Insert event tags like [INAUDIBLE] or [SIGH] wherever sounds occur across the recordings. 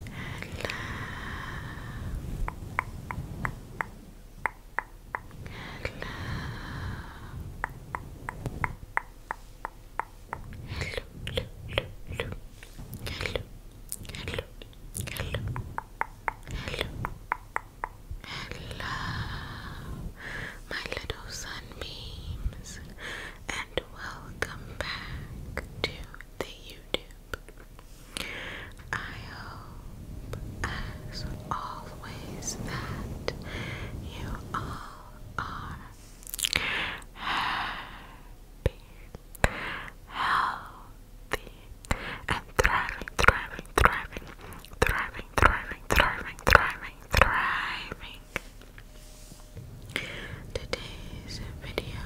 Hello. Hello. Hello, hello, hello, hello, hello, hello, hello, my little sunbeams, and welcome back to the YouTube I hope, as always, that you all are happy, healthy, and thriving, thriving, thriving, thriving, thriving, thriving, Today's video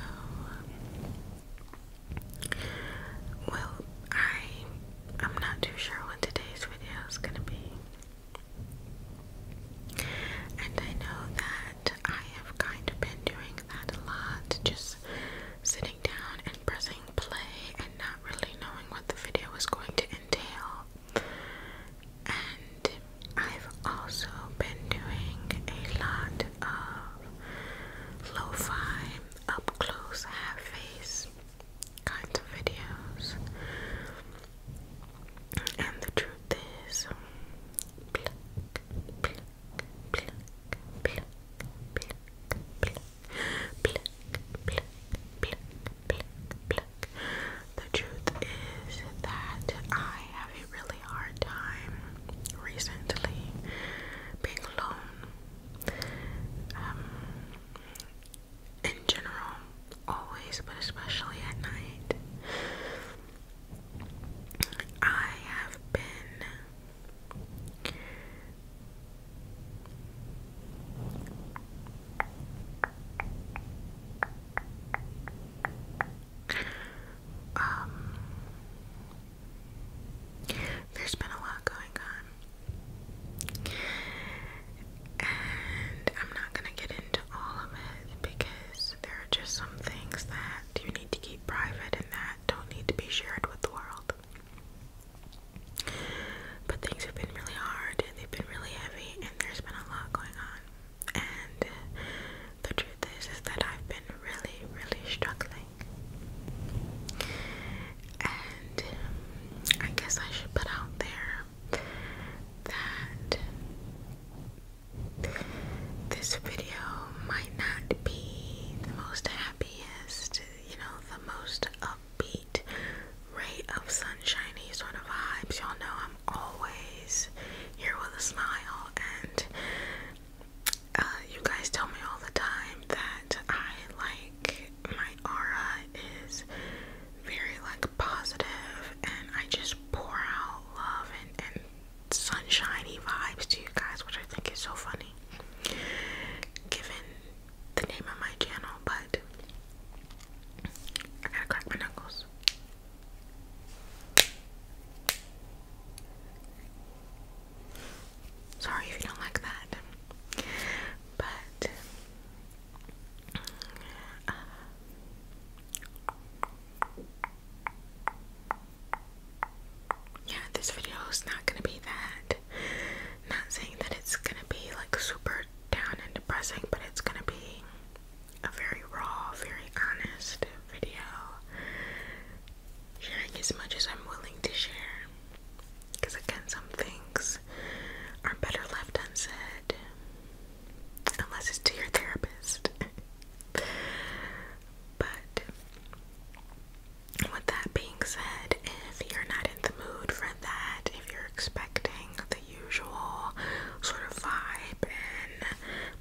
well, I I'm not too sure what today's video is gonna be. And I know that I have kind of been doing that a lot, just sitting down and pressing play and not really knowing what the video is going to entail. And I've also been doing a lot of lo-fi, up close, half face kinds of videos. And the truth is, The truth is that I have really hard time recently being alone. Um, in general, always, but especially at night, I have been um, there's been a lot going on, and I'm not gonna get into all of it because there are just some things that you need to keep private and that don't need to be shared with the world. But things have been really hard and they've been really heavy, and there's been a lot going on. And the truth is is that I've been really, really struggling. And um, I guess I should put out there that this video might not be the most happiest, you know, the most upbeat ray of sunshiny sort of vibes. Y'all know I'm always here with a smile and uh, you guys tell me all the time that I like my aura is very like positive and I just pour out love and, and sunshiny vibes to you guys, which I think is so funny given the name of my channel, but I gotta crack my knuckles. Sorry if you don't like that, but uh, yeah, this video is not gonna be that. Not saying that it's gonna be like super down and depressing, but it's gonna be a very raw, very honest video, sharing as much as I'm willing to share. Because again, some things are better left unsaid, unless it's to your therapist. [LAUGHS] but with that being said, if you're not in the mood for that, if you're expecting the usual sort of vibe and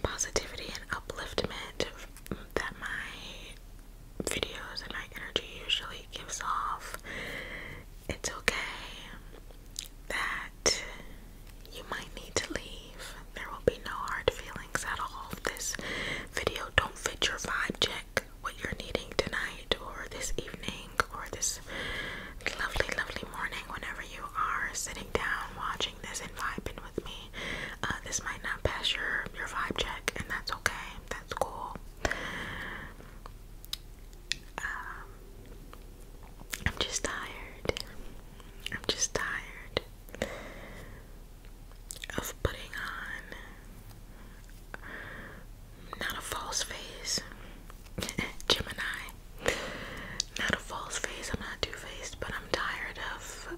positivity and upliftment that my videos and my energy usually gives off, it's okay that you might need to leave. There will be no hard feelings at all. This video don't fit your vibe check, what you're needing tonight or this evening or this lovely, lovely morning whenever you are sitting down watching this and uh, this might not pass your your vibe check, and that's okay. That's cool. Um, I'm just tired. I'm just tired of putting on not a false face, [LAUGHS] Gemini. Not a false face. I'm not too faced, but I'm tired of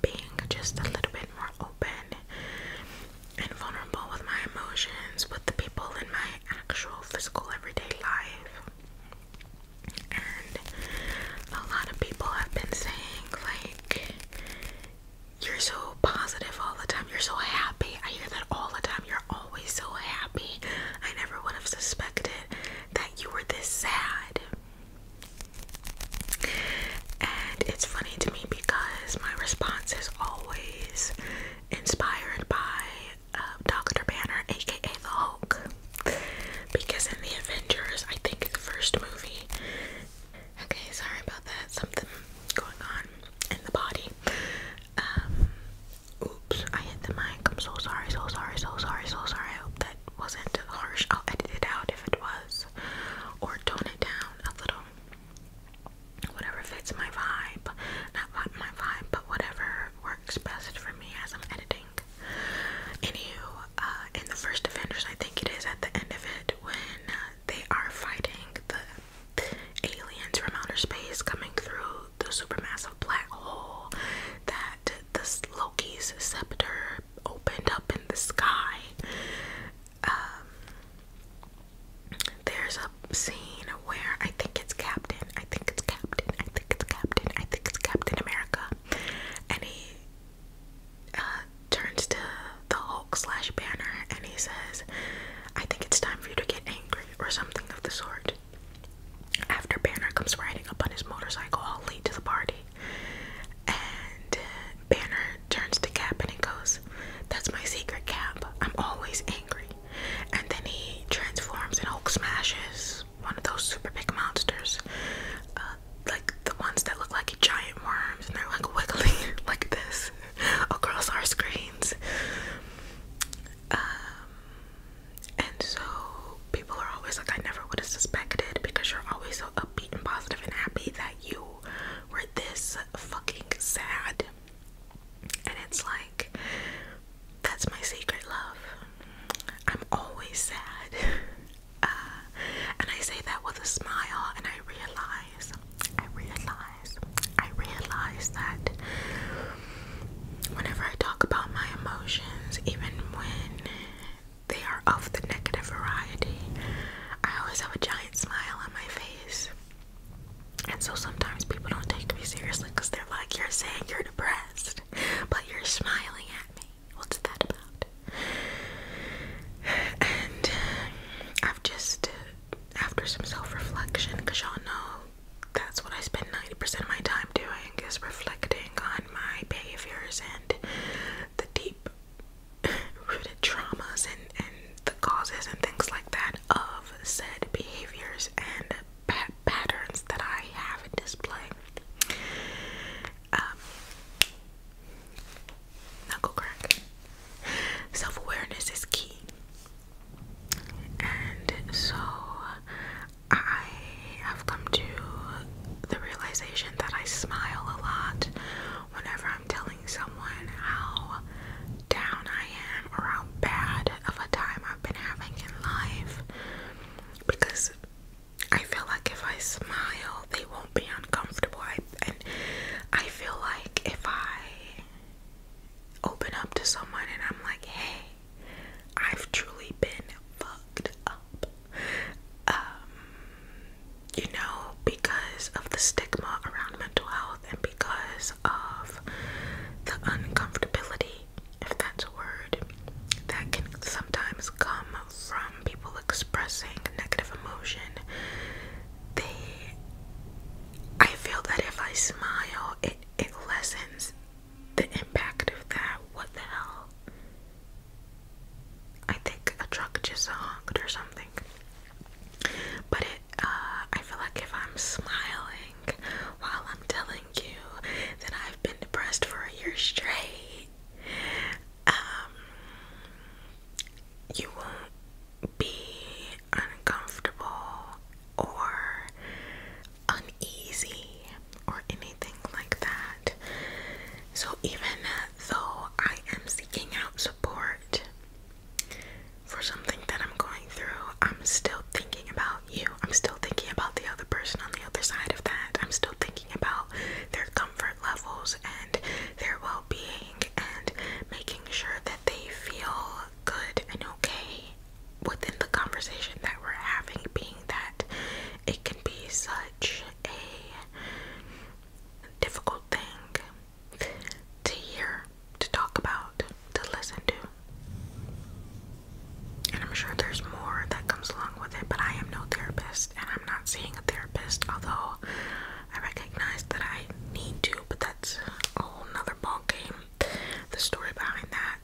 being just a little bit more open and vulnerable with my emotions, with the people in my actual physical everyday life. And a lot of people have been saying, like, you're so positive all the time, you're so happy. I hear that all the time, you're always so happy. I never would have suspected that you were this sad. And it's funny to me because my response is always inspired by um, Dr. Banner, aka the Hulk. Because in the Avengers, I think the first movie. Okay, sorry about that. Something going on in the body. Um, oops, I hit the mic. I'm so sorry, so sorry, so sorry, so sorry. I hope that wasn't harsh, I'll edit it out if it was, or tone it down a little. Whatever fits my vibe, my vibe, but whatever works best for me as I'm editing. Anywho, uh, in the first Avengers, I think it is at the end of it when uh, they are fighting the aliens from outer space coming through the supermassive black hole that this Loki's scepter opened up in the sky. Um, there's a scene where I think it's Captain, I think it's Captain, I think it's Captain, I think it's Captain America, and he uh, turns to the Hulk slash Banner and he says, I think it's time for you to get angry, or something of the sort. After Banner comes riding up on his motorcycle all late to the party, and uh, Banner turns to Cap and he goes, That's my secret, Cap. I'm always angry. And then he transforms and Hulk smashes one of those super big monsters. Uh, like the ones that look like giant worms and they're like wiggling [LAUGHS] like this [LAUGHS] across our screens. Um, and so people are always like, I never would have suspected because you're always so upbeat and positive and happy that you were this fucking sad. And it's like, that's my secret love. I'm always sad. [LAUGHS] Uh, and I say that with a smile, and I realize, I realize, I realize that whenever I talk about my emotions, even when they are of the negative variety. I always have a giant smile on my face. And so sometimes people don't take me seriously because they're like, You're saying you're depressed, but you're smiling at me. What's that about? And uh, I've just, uh, after some self reflection, because y'all know that's what I spend 90% of my time doing is reflecting on my behaviors and the deep [LAUGHS] rooted traumas and, and the causes and things like that of said behaviors and patterns that I have in display. Um, knuckle crack. Self awareness is key. And so I i have come to the realization that I smile a lot whenever I'm telling someone how down I am or how bad of a time I've been having in life because I feel like if I smile, they won't be uncomfortable. I, and I feel like if I open up to someone and I'm like, hey, I've truly been fucked up. Um, you know, because of the stigma around mental health and because of the uncomfortability, if that's a word, that can sometimes come from people expressing negative emotion. They, I feel that if I smile, it it lessens the impact of that. What the hell? I think a truck just honked or something. But it, uh, I feel like if I'm smiling while I'm telling you that I've been depressed for a year straight, um, you won't be uncomfortable or uneasy or anything like that. So even uh, though I am seeking out support for something that I'm going through, I'm still thinking about you. I'm still thinking about the other person on the other side of that. I'm still thinking about their comfort levels and their well being and making sure that they feel good and okay within the conversation that we're having, being that it can be a difficult thing to hear, to talk about, to listen to. And I'm sure there's more that comes along with it, but I am no therapist and I'm not seeing a therapist, although I recognize that I need to, but that's a whole ball game. The story behind that.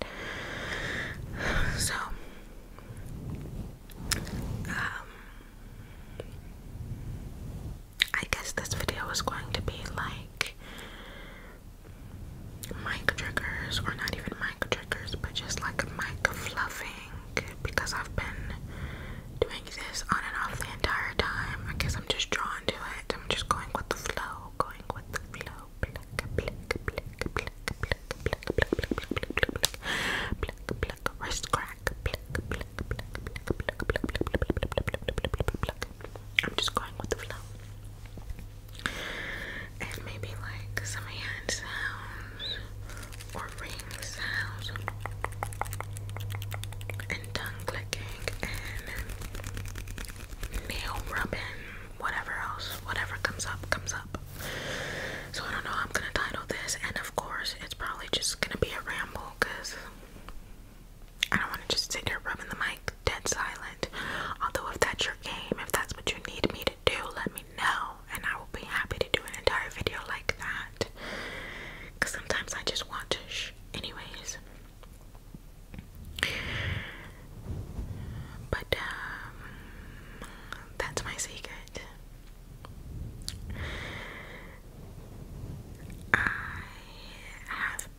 So um I guess this video is going to be like mic triggers, or not even mic triggers, but just like mic fluffing because I've been doing this on and off the entire time. I guess I'm just drawn to it. I'm just going with the flow, going with the flow crack. I'm just going with the flow. And maybe like some hand sounds or ring sounds and tongue clicking and nail rubbing, whatever else, whatever comes up, comes up. So I don't know, I'm gonna title this and a of course, it's probably just gonna be a ramble because I don't want to just sit here rubbing the mic dead silent. Although, if that's your game, if that's what you need me to do, let me know, and I will be happy to do an entire video like that. Because sometimes I just want to, anyways. But, um, that's my secret. I have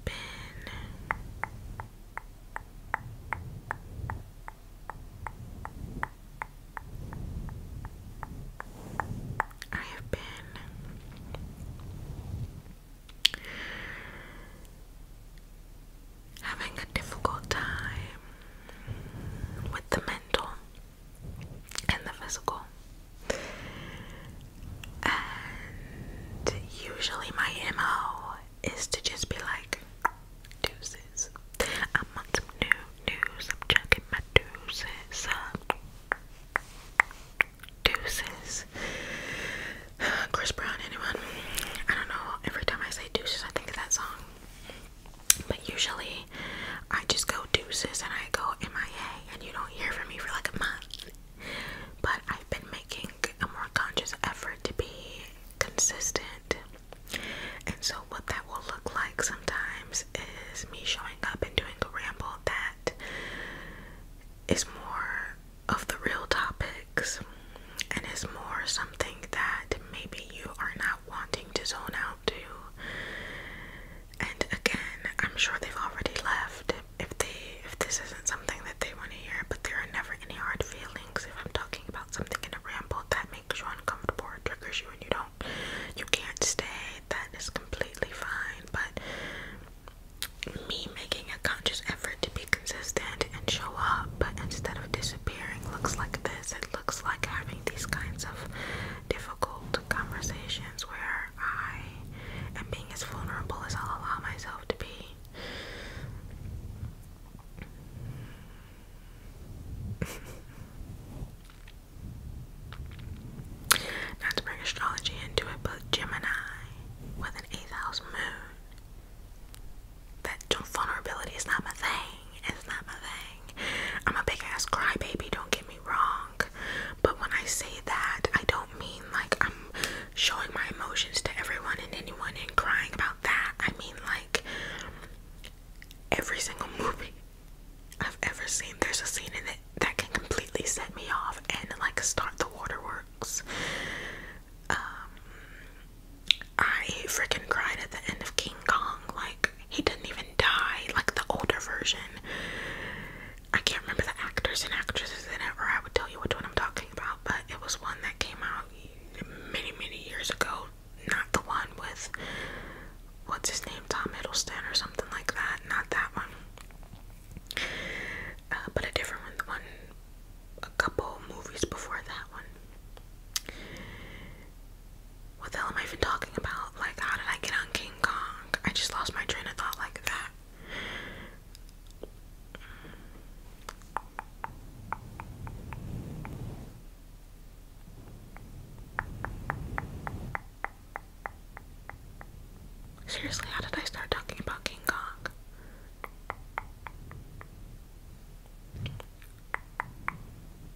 been I have been having a difficult time with the mental and the physical. And usually my MO is to just be like, deuces. I'm on some new news, I'm checking my deuces. Uh, deuces. [SIGHS] Chris Brown, anyone? I don't know. Every time I say deuces, I think of that song. But usually I just go deuces and I go MIA and you don't hear from me for like a month. But I've been making a more conscious effort to be consistent. And so, what that will look like sometimes is me showing up and doing a ramble that is more of the real topics and is more something that maybe you are not wanting to zone out to. And again, I'm sure they've already left if they if this isn't something that they want to hear, but there are never any hard feelings. If I'm talking about something in a ramble that makes you uncomfortable or triggers you and you don't you can't stay, that is completely fine. But me making a conscious effort to be consistent and show up, but instead of disappearing, looks like this looks like having these kinds of difficult conversations where I am being as vulnerable as i allow myself to be. Not to bring astrology into it, but Gemini with an eighth house moon. That vulnerability is not my thing. It's not my thing. I'm a big ass crybaby, don't get me wrong. But when I say that, I don't mean like I'm showing my emotions to everyone and anyone and crying about that. I mean like every single [LAUGHS] movie I've ever seen, there's a scene in it that can completely set me off and like start the waterworks. Um I freaking cried at the end of King Kong. Like, he didn't even die. Like, the older version. I can't remember the actors and actresses in it, or I would tell you which one I'm talking about, but it was one that came out many, many years ago. Not the one with, what's his name, Tom Hiddleston or something like that. Not that one. Uh, but a different one. The one a couple movies before that one what the hell am I even talking about? Like, how did I get on King Kong? I just lost my train of thought like that. Seriously, how did I start talking about King Kong?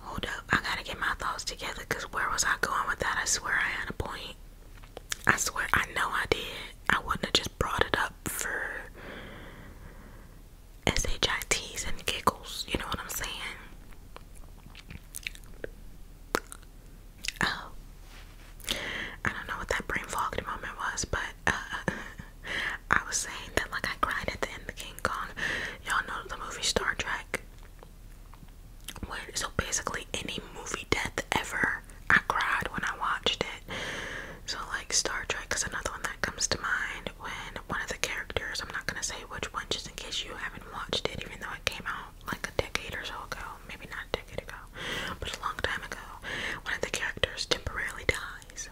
Hold up, I gotta get my thoughts together because where was I going with that? I swear I had a point. I swear I know I did. I wouldn't have just brought it up for SHITs and giggles, you know what I'm saying? Oh, I don't know what that brain fogged moment was, but uh, [LAUGHS] I was saying that like I cried at the end of King Kong. Y'all know the movie Star Trek. so basically any movie death ever, I cried when I watched it. So like Star Trek is another one that comes to mind when one of the characters, I'm not gonna say which one just in case you haven't watched it, even though it came out like a decade or so ago maybe not a decade ago, but a long time ago, one of the characters temporarily dies.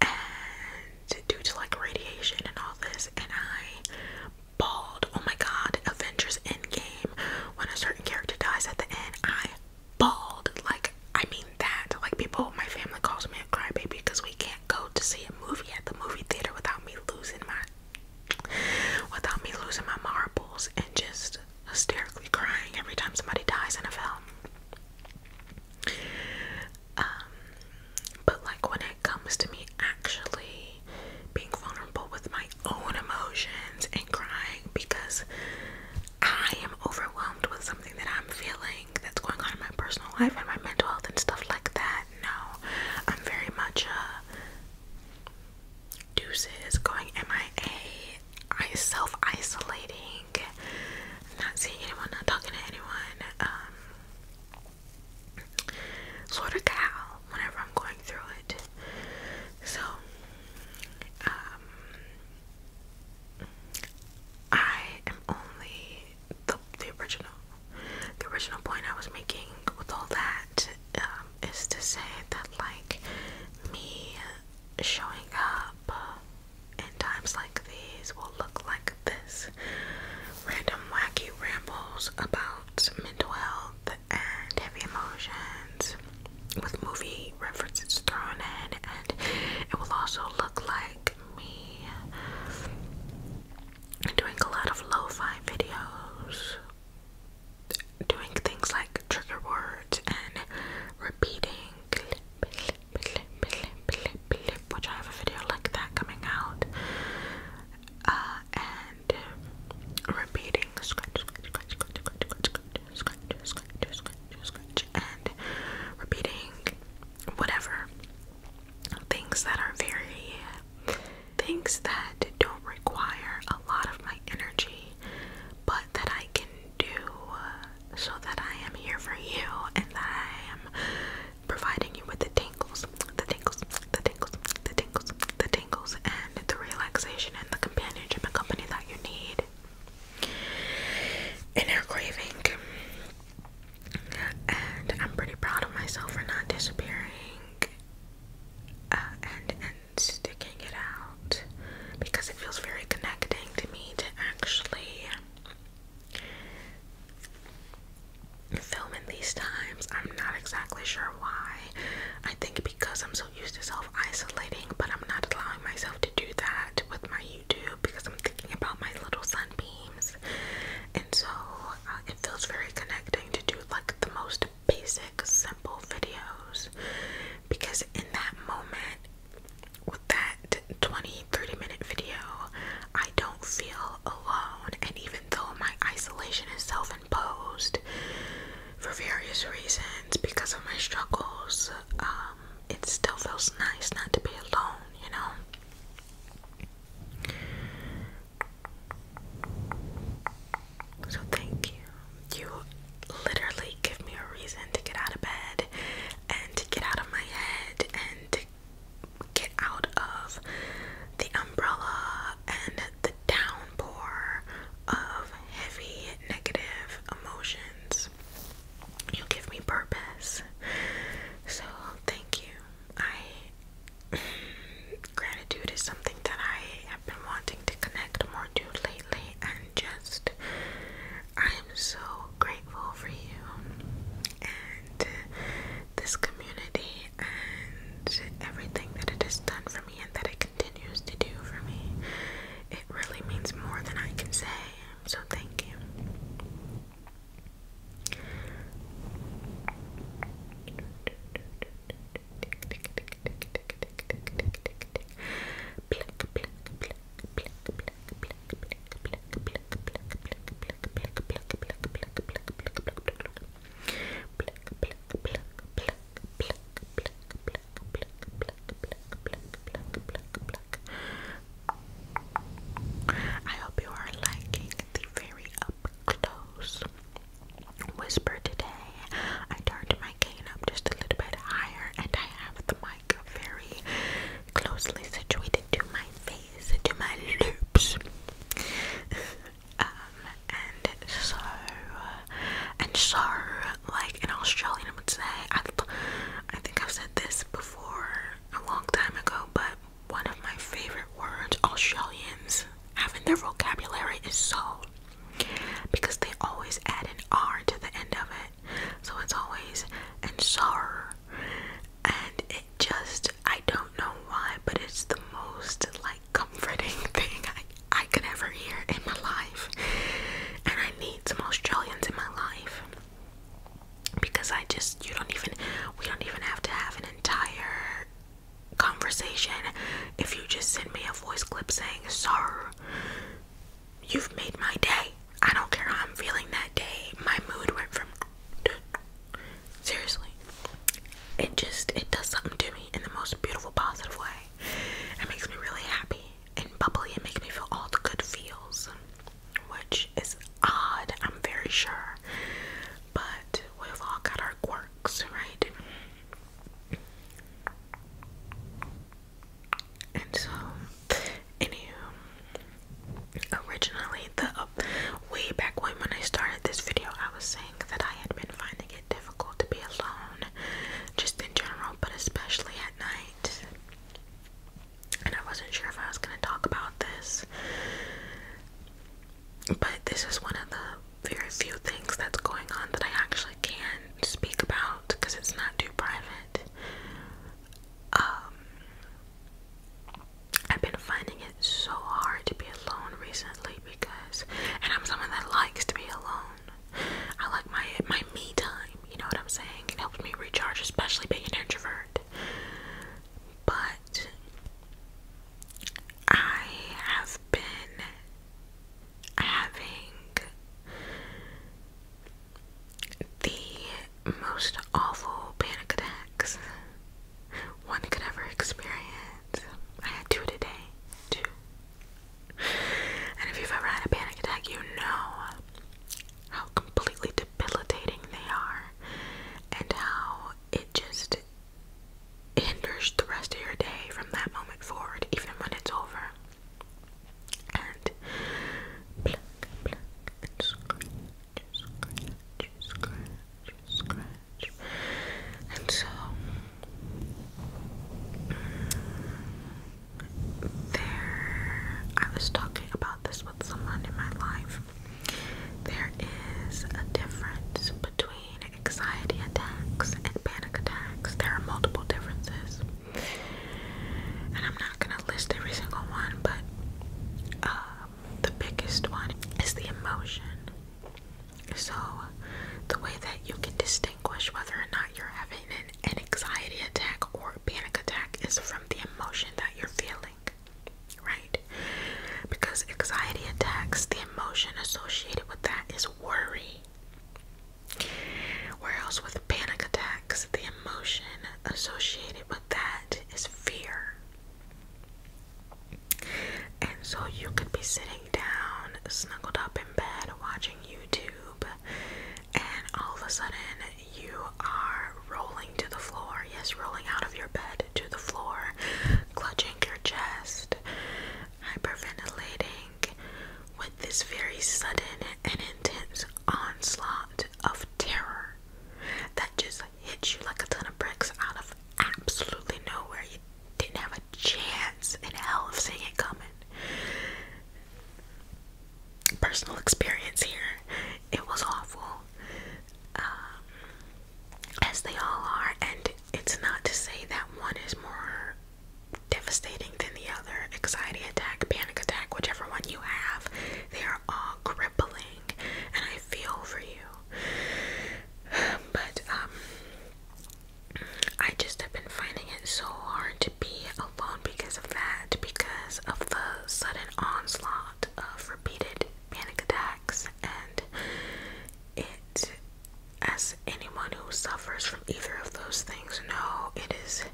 And due to like radiation and all this, and I bawled. Oh my god, Avengers Endgame, when a certain character dies at the end, I bawled. Like, I mean that. Like, people, my family calls me a crybaby because we can't go to see a movie at the movie theater without me losing my without me losing my marbles and just hysterically crying every time somebody dies in a film. Um, but like when it comes to me actually being vulnerable with my own emotions and crying because I am overwhelmed with something that I'm feeling that's going on in my personal life and my mental health and stuff like that. No, I'm very much a deuces, going MIA, I self isolating, not seeing anyone, not talking to anyone. Um, sort of cow whenever I'm going through it. So, um, I am only the, the original. The original point I was making with all that um, to say that, like, me showing up in times like these will look like this random wacky rambles about mental health and heavy emotions with movie references thrown in, and it will also look like me doing a lot of lo fi videos doing things like trigger words and repeating which I have a video like that coming out. and repeating and repeating whatever things that are very things that don't require a lot of my energy but that I can do uh, so that I am here for you and that I am providing you with the tingles, the tingles, the tingles, the tingles, the tingles, and the relaxation and the companionship and company that you need. Inner craving. And I'm pretty proud of myself for not disappearing uh, and sticking it out because it feels very connecting to me to actually film in these times. I'm not exactly sure why. I think because I'm so used to self isolating, but I'm not allowing myself to do that with my YouTube because I'm thinking about my little sunbeams. And so uh, it feels very connecting to do like the most basic, simple videos because in that moment, with that 20 30 minute video, I don't feel alone. And even though my isolation is self imposed for various reasons because of my struggles, um, it still feels nice not to be alone, you know. So thank you. You literally give me a reason to get out of bed and to get out of my head and to get out of the umbrella and the downpour of heavy negative emotions. You give me purpose. So thank you. I gratitude is something that I have been wanting to connect more to lately and just I am so grateful for you and this community and everything that it has done for me and that it continues to do for me. It really means more than I can say. So thank you. I hope you are liking the very up close whisper today. I turned my cane up just a little bit higher, and I have the mic very closely situated to my face, to my lips. [LAUGHS] Um, and so, and so, like an Australian would say, I, think I've said this before a long time ago, but one of my favorite words Australians having their vocabulary is so because they always add an R to the end of it. So it's always and sorrow. And it just I don't know why, but it's the most like comforting [LAUGHS] thing I I could ever hear in my life. And I need some Australians in my life. Because I just you don't even we don't even have to have an entire conversation if you just send me a voice clip saying sorry You've made my day. I don't care how I'm feeling that day. My mood went from [CLEARS THROAT] seriously. It just it does something to me in the most beautiful positive way. It makes me really happy and bubbly. It makes me feel all the good feels, which is odd. I'm very sure, but we've all got our quirks, right? And so, anywho, um, originally, the uh, way back when when I started this video, I was saying that I had been finding it difficult to be alone, just in general, but especially at night. And I wasn't sure if I was going to talk about this, but this is one of the very few things that's going on that I actually can speak about because it's not too private. Um, I've been finding it so hard to be alone recently because, and I'm someone that likes to be alone. I like my my me time. You know what I'm saying? It helps me recharge, especially being an introvert. But I have been having the most awful panic attacks one could ever experience. I had two today, two. And if you've ever had a panic attack, you know how completely debilitating they are and how it just hinders the rest of your day from that moment forward, even when it's over and pluck, scratch, scratch, scratch, scratch, and so there. I was talking about this with someone in my life. There is a difference between anxiety attacks and panic. There are multiple differences. And I'm not gonna list every single one, but um, the biggest one is the emotion. So, the way that you can distinguish whether or not you're having an, an anxiety attack or panic attack is from the emotion that you're feeling, right? Because anxiety attacks, the emotion associated with that is worry. Where else with panic attacks, the emotion associated with that is fear. And so you could be sitting down, snuggled up in bed, watching YouTube, and all of a sudden you are rolling to the floor. Yes, rolling out of your bed to the floor, clutching your chest, hyperventilating, with this very sudden and intense onslaught of terror that just hits you like a ton of bricks out of absolutely nowhere. You didn't have a chance in hell of seeing it coming. Personal experience here. It was awful. Um, as they all are, and it's not to say that one is more devastating than the other. Anxiety attack, panic attack, whichever one you have, they are all crippling, and I feel for you. [SIGHS] But um, I just have been finding it so hard to be alone because of that, because of the sudden onslaught of repeated panic attacks, and it as anyone who suffers from either of those things know, it is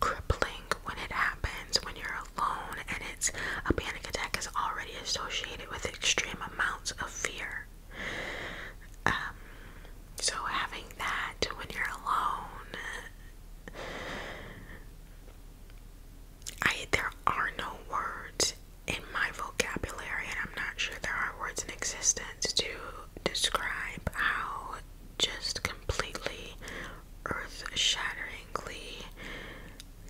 crippling when it happens when you're alone and it's a panic attack is already associated with extreme amounts of fear. Um, so having that when you're alone, I there are no words in my vocabulary, and I'm not sure there are words in existence to describe how just completely earth shatteringly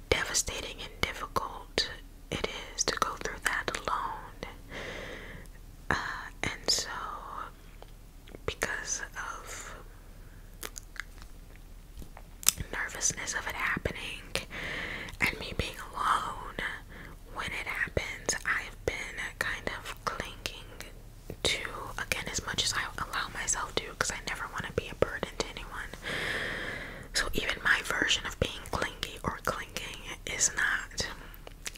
devastating and difficult it is to go through that alone. Uh, and so, because of nervousness of it happening and me being alone when it happens, I've been kind of of clinging to again as much as I allow myself to because I never want to be a burden to anyone. So even my version of being clingy or clinging is not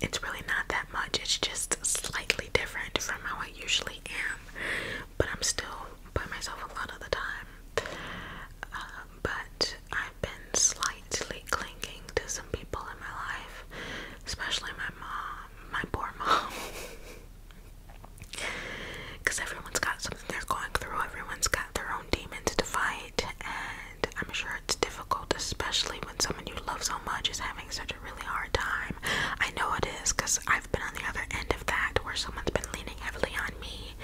it's really not that much. It's just slightly different from how I usually am. But I'm still by myself a lot of the time. Uh, but I've been slightly clinging to some people in my life, especially my mom, my poor mom. Because [LAUGHS] everyone's got something they're going through, everyone's got their own demons to fight, and I'm sure it's difficult, especially when someone you love so much is having such a really hard time. I know it is because I've been on the other end of that where someone's been leaning heavily on me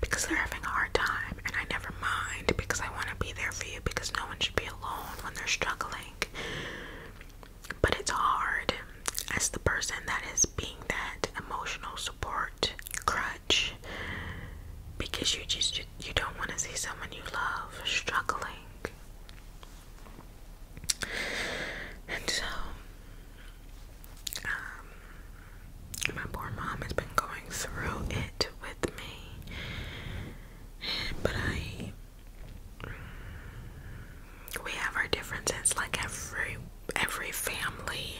because they're having a hard time, and I never mind because I want to be there for you because no one should be alone when they're struggling. But it's hard as the person that is being that emotional support crutch because you just you, don't want to see someone you love struggling. And so um, my poor mom has been going through it with me but I we have our differences like every every family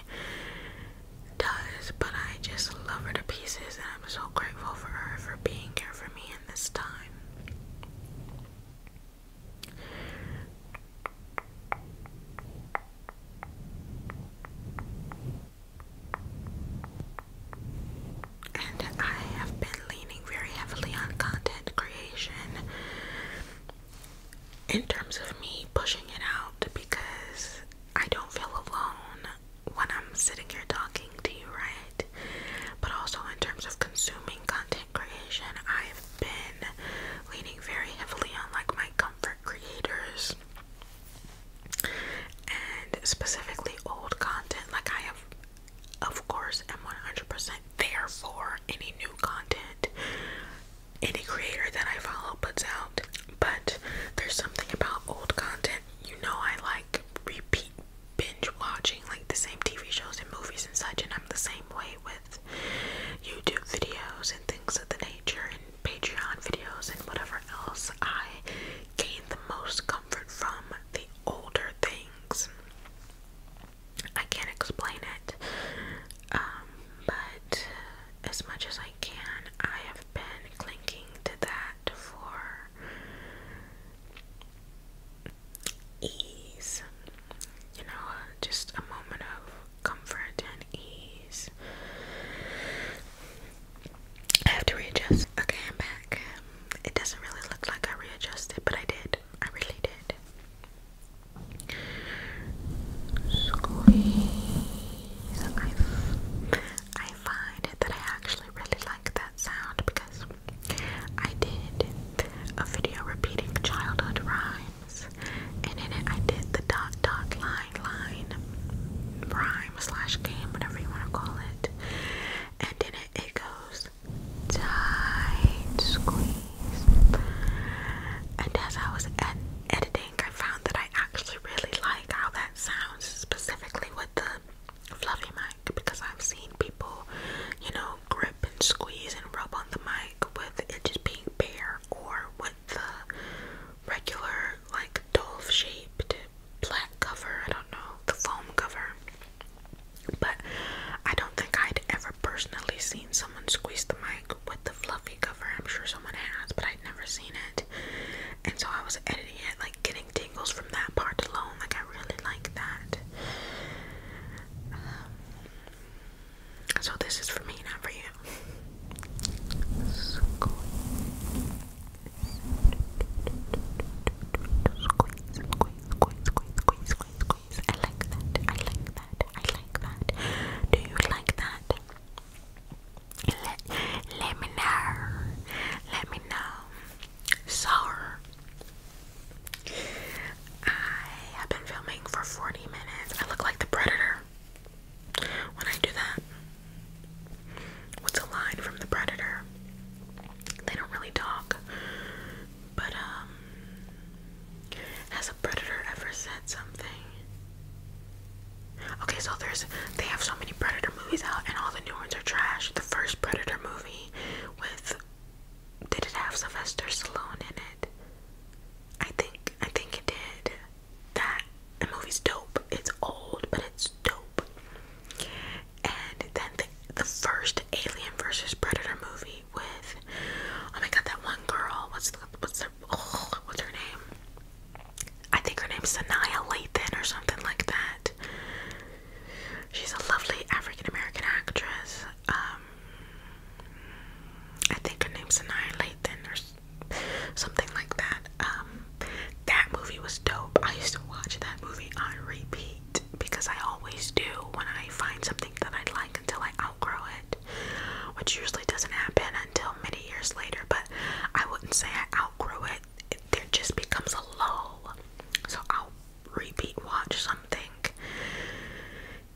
does, but I just love her to pieces and I'm so grateful for her for being here for me in this time. And I have been leaning very heavily on content creation in terms of me pushing it out because I don't feel alone when I'm sitting here talking to you, right? But also in terms of consuming content creation, I've been leaning very heavily on like my comfort creators and specifically old content. Like I have, of course, am 100% there for any new content any creator that I follow puts out. But there's something about old content. You know, I like repeat binge watching like the same TV shows and movies and such, and I'm the same way with YouTube videos and things of the nature and Patreon videos and whatever else. I gain the most comfort from the older things. I can't explain it, um, but as much as I can, I have been clinging to that for ease. You know, just a moment of comfort and ease. I have to readjust. Okay, I'm back. it doesn't really look like I readjusted, but I did. I really did. Squeeze. I, I find that I actually really like that sound because I did a video repeating childhood rhymes, and in it I did the dot dot line line rhyme slash game, whatever you want to call it and in it it goes tight squeeze. And as I was editing, I found that I actually really like how that sounds, specifically with the fluffy mic, because I've seen people, you know, grip and squeeze and rub on the mic with it just being bare or with the regular like dove shaped black cover, I don't know, the foam cover. But I don't think I'd ever personally seen someone squeeze the mic with the fluffy cover. I'm sure someone has, but I'd never seen it. And so I was editing it, like getting tingles from that part alone. Like I really like that. Um, so this is for me, not for you. Squeeze, squeeze, squeeze, squeeze, squeeze, squeeze. I like that. I like that. I like that. Do you like that? Let, let me know. Let me know. So, I have been filming for 40 minutes. I look like the Predator when I do that. What's a line from The Predator? They don't really talk. But, um, has a predator ever said something? Okay, so there's, they have so many Predator movies out, and all the new ones are trash. The first Predator movie with, did it have Sylvester Stallone in it? I think, I think it did. That, the movie's dope. It's old, but it's dope and then the, the first Alien versus Predator movie with oh my god that one girl what's what's her what's her name I think her name's Sanaa Lathan or something like that she's a lovely African American actress um I think her name's Sanaa Lathan or something like that um that movie was dope. I used to watch that movie on repeat because I always do when I find something that I like until I outgrow it, which usually doesn't happen until many years later. But I wouldn't say I outgrow it, it there just becomes a lull. So I'll repeat watch something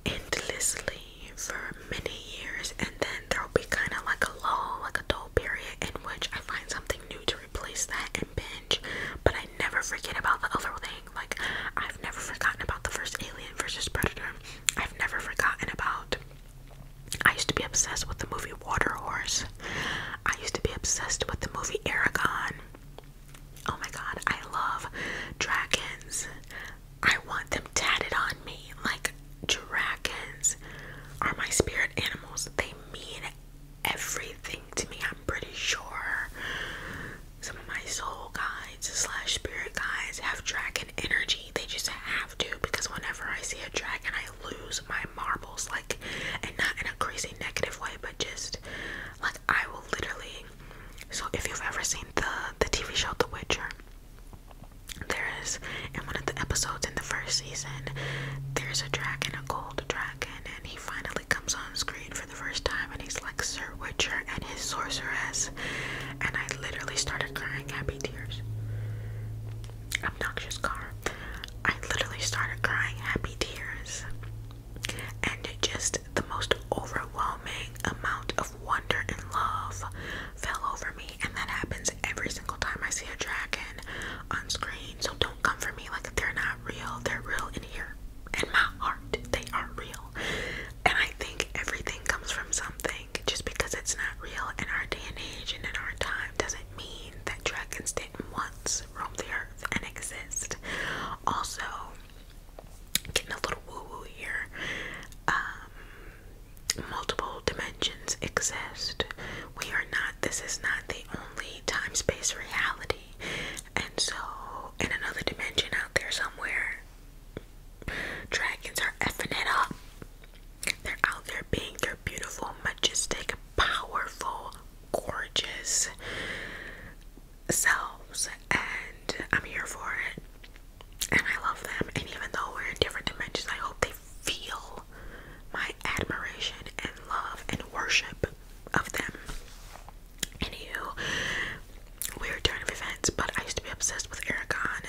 endlessly for many years, and then there'll be kind of like a lull, like a dull period in which I find something new to replace that and binge, but I never forget about the other thing. Like, I've never forgotten about the first Alien versus Predator. I've never forgotten about. I used to be obsessed with the movie Water Horse. I used to be obsessed with the movie Aragon. Oh my god, I love dragons. I want them tatted on me. Like, dragons are my spirit animals. They mean everything to me, I'm pretty sure. Some of my soul guides slash spirit guides have dragon energy. They just have to because whenever I see a dragon, I lose my marbles. Like, and not in a crazy negative way, but just like I will literally. So, if you've ever seen the the TV show The Witcher, there is in one of the episodes in the first season, there's a dragon, a gold dragon and he finally comes on screen for the first time, and he's like Sir Witcher and his sorceress, and I literally started crying happy tears. Obnoxious car. I literally started crying happy tears, and just the most overwhelming amount of wonder and love fell over me, and that happens every single time I see a dragon on screen, so don't come for me like they're not real. They're real in here, in my heart. They are real, and I think everything comes from something. Just because it's not real in our day and age and in our time doesn't mean that dragons didn't once roam the earth and exist. Also, getting a little woo woo here. Um, multiple dimensions exist we are not, this is not the only time space reality. And so, in another dimension out there somewhere, dragons are effing it up. They're out there being their beautiful, majestic, powerful, gorgeous selves. And I'm here for it. And I love them. And even though we're in different dimensions, I hope they feel my admiration and love and worship of them. Anywho, weird turn of events, but I used to be obsessed with Aragon,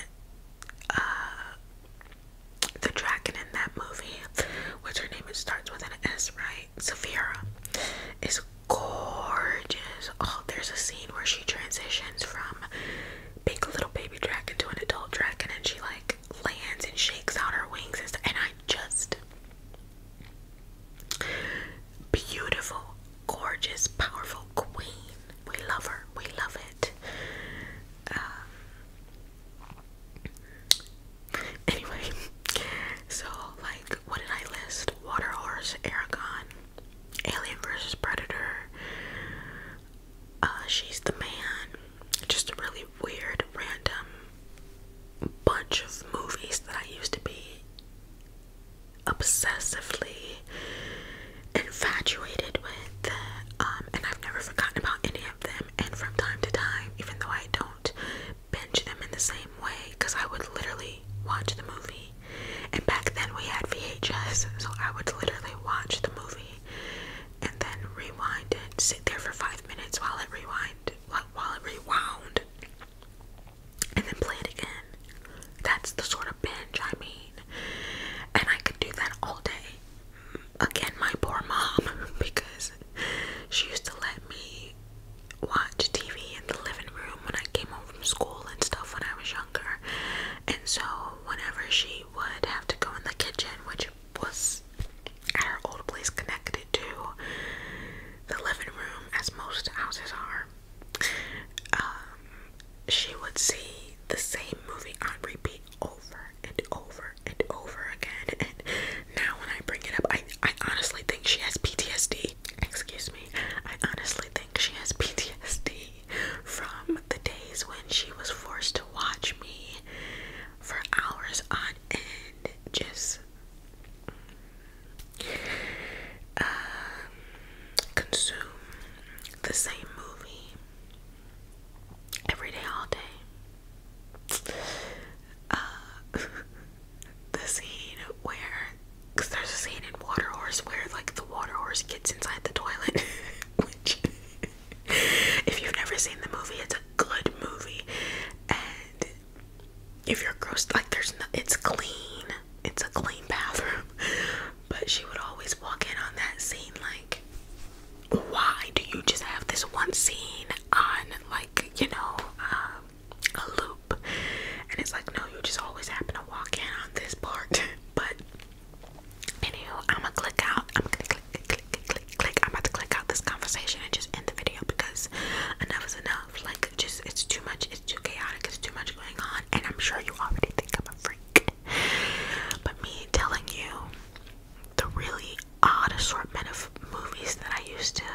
uh, the dragon in that movie, which her name it starts with an S, right? Saphira is gorgeous. Oh, there's a scene where she transitions from big little baby dragon to an adult dragon, and she like lands and shakes out her wings, and I just beautiful, gorgeous, powerful queen. We love her. We love it. Um, anyway, [LAUGHS] so like, what did I list? Water Horse, Aragon, Alien versus Predator. Uh, she's the man just a really weird, random bunch of movies that I used to be obsessively infatuated with, um, and I've never forgotten about any of them. And from time to time, even though I don't binge them in the same way, because I would literally watch the movie, and back then we had VHS, so I would literally watch the movie and then rewind it. Sit there for five minutes while it rewind, while it rewound, and then play it again. That's the sort of binge I mean, and I could do that all day. Again, my poor mom, [LAUGHS] because she used to let me watch TV in the living room when I came home from school and stuff when I was younger. And so, whenever she would have to go in the kitchen, which was at our old place connected to the living room, as most houses are, um, she would see the same movie on repeat over and over and over again. And now, when I bring it up, I, I honestly think she has PTSD. Excuse me. I honestly think she has PTSD from the days when she was forced to watch me for hours on and just um, consume the same movie every day, all day. Uh, [LAUGHS] the scene where, because there's a scene in Water Horse where, like, the water horse gets inside the toilet, [LAUGHS] which if you've never seen the movie, it's a good movie. And if you're grossed, like there's no, it's clean. It's a clean bathroom. [LAUGHS] But she would always walk in on that scene like, why do you just have this one scene on like, you know, um, a loop? And it's like, no, you just always happen to walk in on this part. [LAUGHS] but anywho, i am going click out. I'm gonna click, click, click, click. I'm about to click out this conversation and just end the video because enough is enough. Like, just it's too much. It's too chaotic. It's too much going on, and I'm sure you already think I'm a freak. But me telling you the really odd assortment of movies that I used to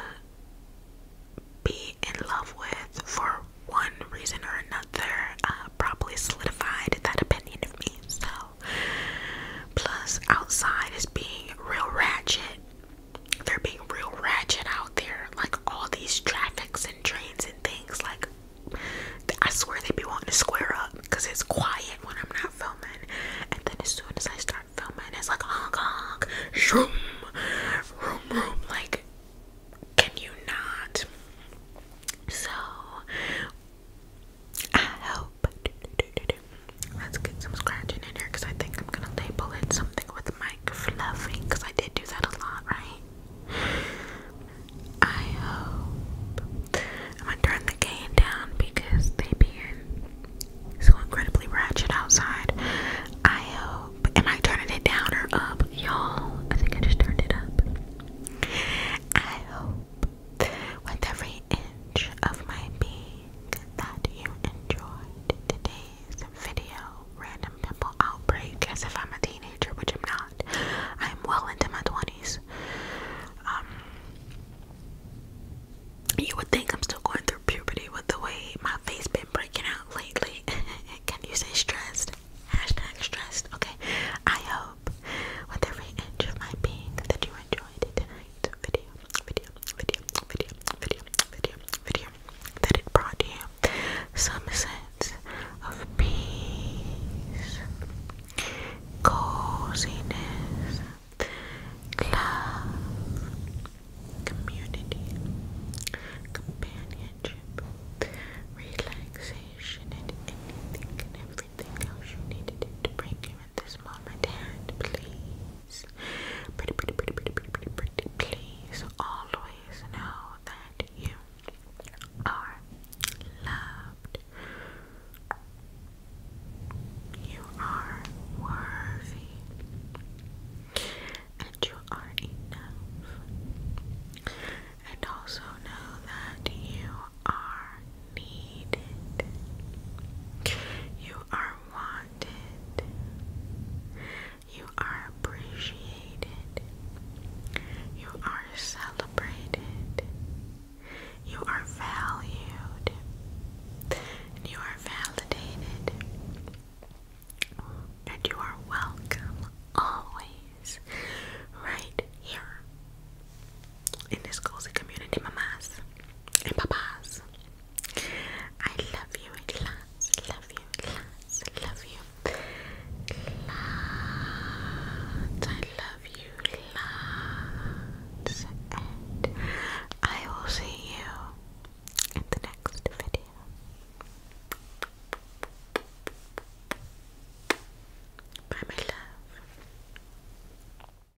be in love with for one reason or another uh, probably solidified that opinion of me. So Plus, outside is being real ratchet. They're being real ratchet out there. Like all these traffics and trains and things. Like, I swear they be wanting to square up because it's quiet when I'm not filming. And then as soon as I start filming, it's like honk honk, shroom, room room. Like, can you not? So, I hope. Let's get some scratching in here because I think I'm gonna label it something with mic fluffing because I did do that a lot, right? I hope. I'm gonna turn the gain down because they so incredibly ratchet outside. I hope. Am I turning it down or up? Y'all, I think I just turned it up. I hope. Whatever inch of my being that you enjoyed today's video. Random pimple outbreak as if I'm a teenager, which I'm not. I'm well into my 20s. Um, you would think I'm still going through puberty with the way my face has been breaking out lately. [LAUGHS] Can you say stressed? Hashtag stressed. Okay. I hope with every inch of my being that you enjoyed it that it brought you some sense of peace, coziness, love, community, companionship, relaxation, and anything and everything else you needed to bring you this moment, and please, pretty, pretty, pretty, pretty, pretty, pretty, please always know that you are loved. You are worthy, and you are enough. And also know that you are needed. You are wanted. You are appreciated. You are celebrated. You are valued. you are validated. And you are welcome always right here in this cozy community, mamas and papas. I love you, lots, love you, lots, love you, lots. I love you, lots, and I will see you in the next video. Bye, my love.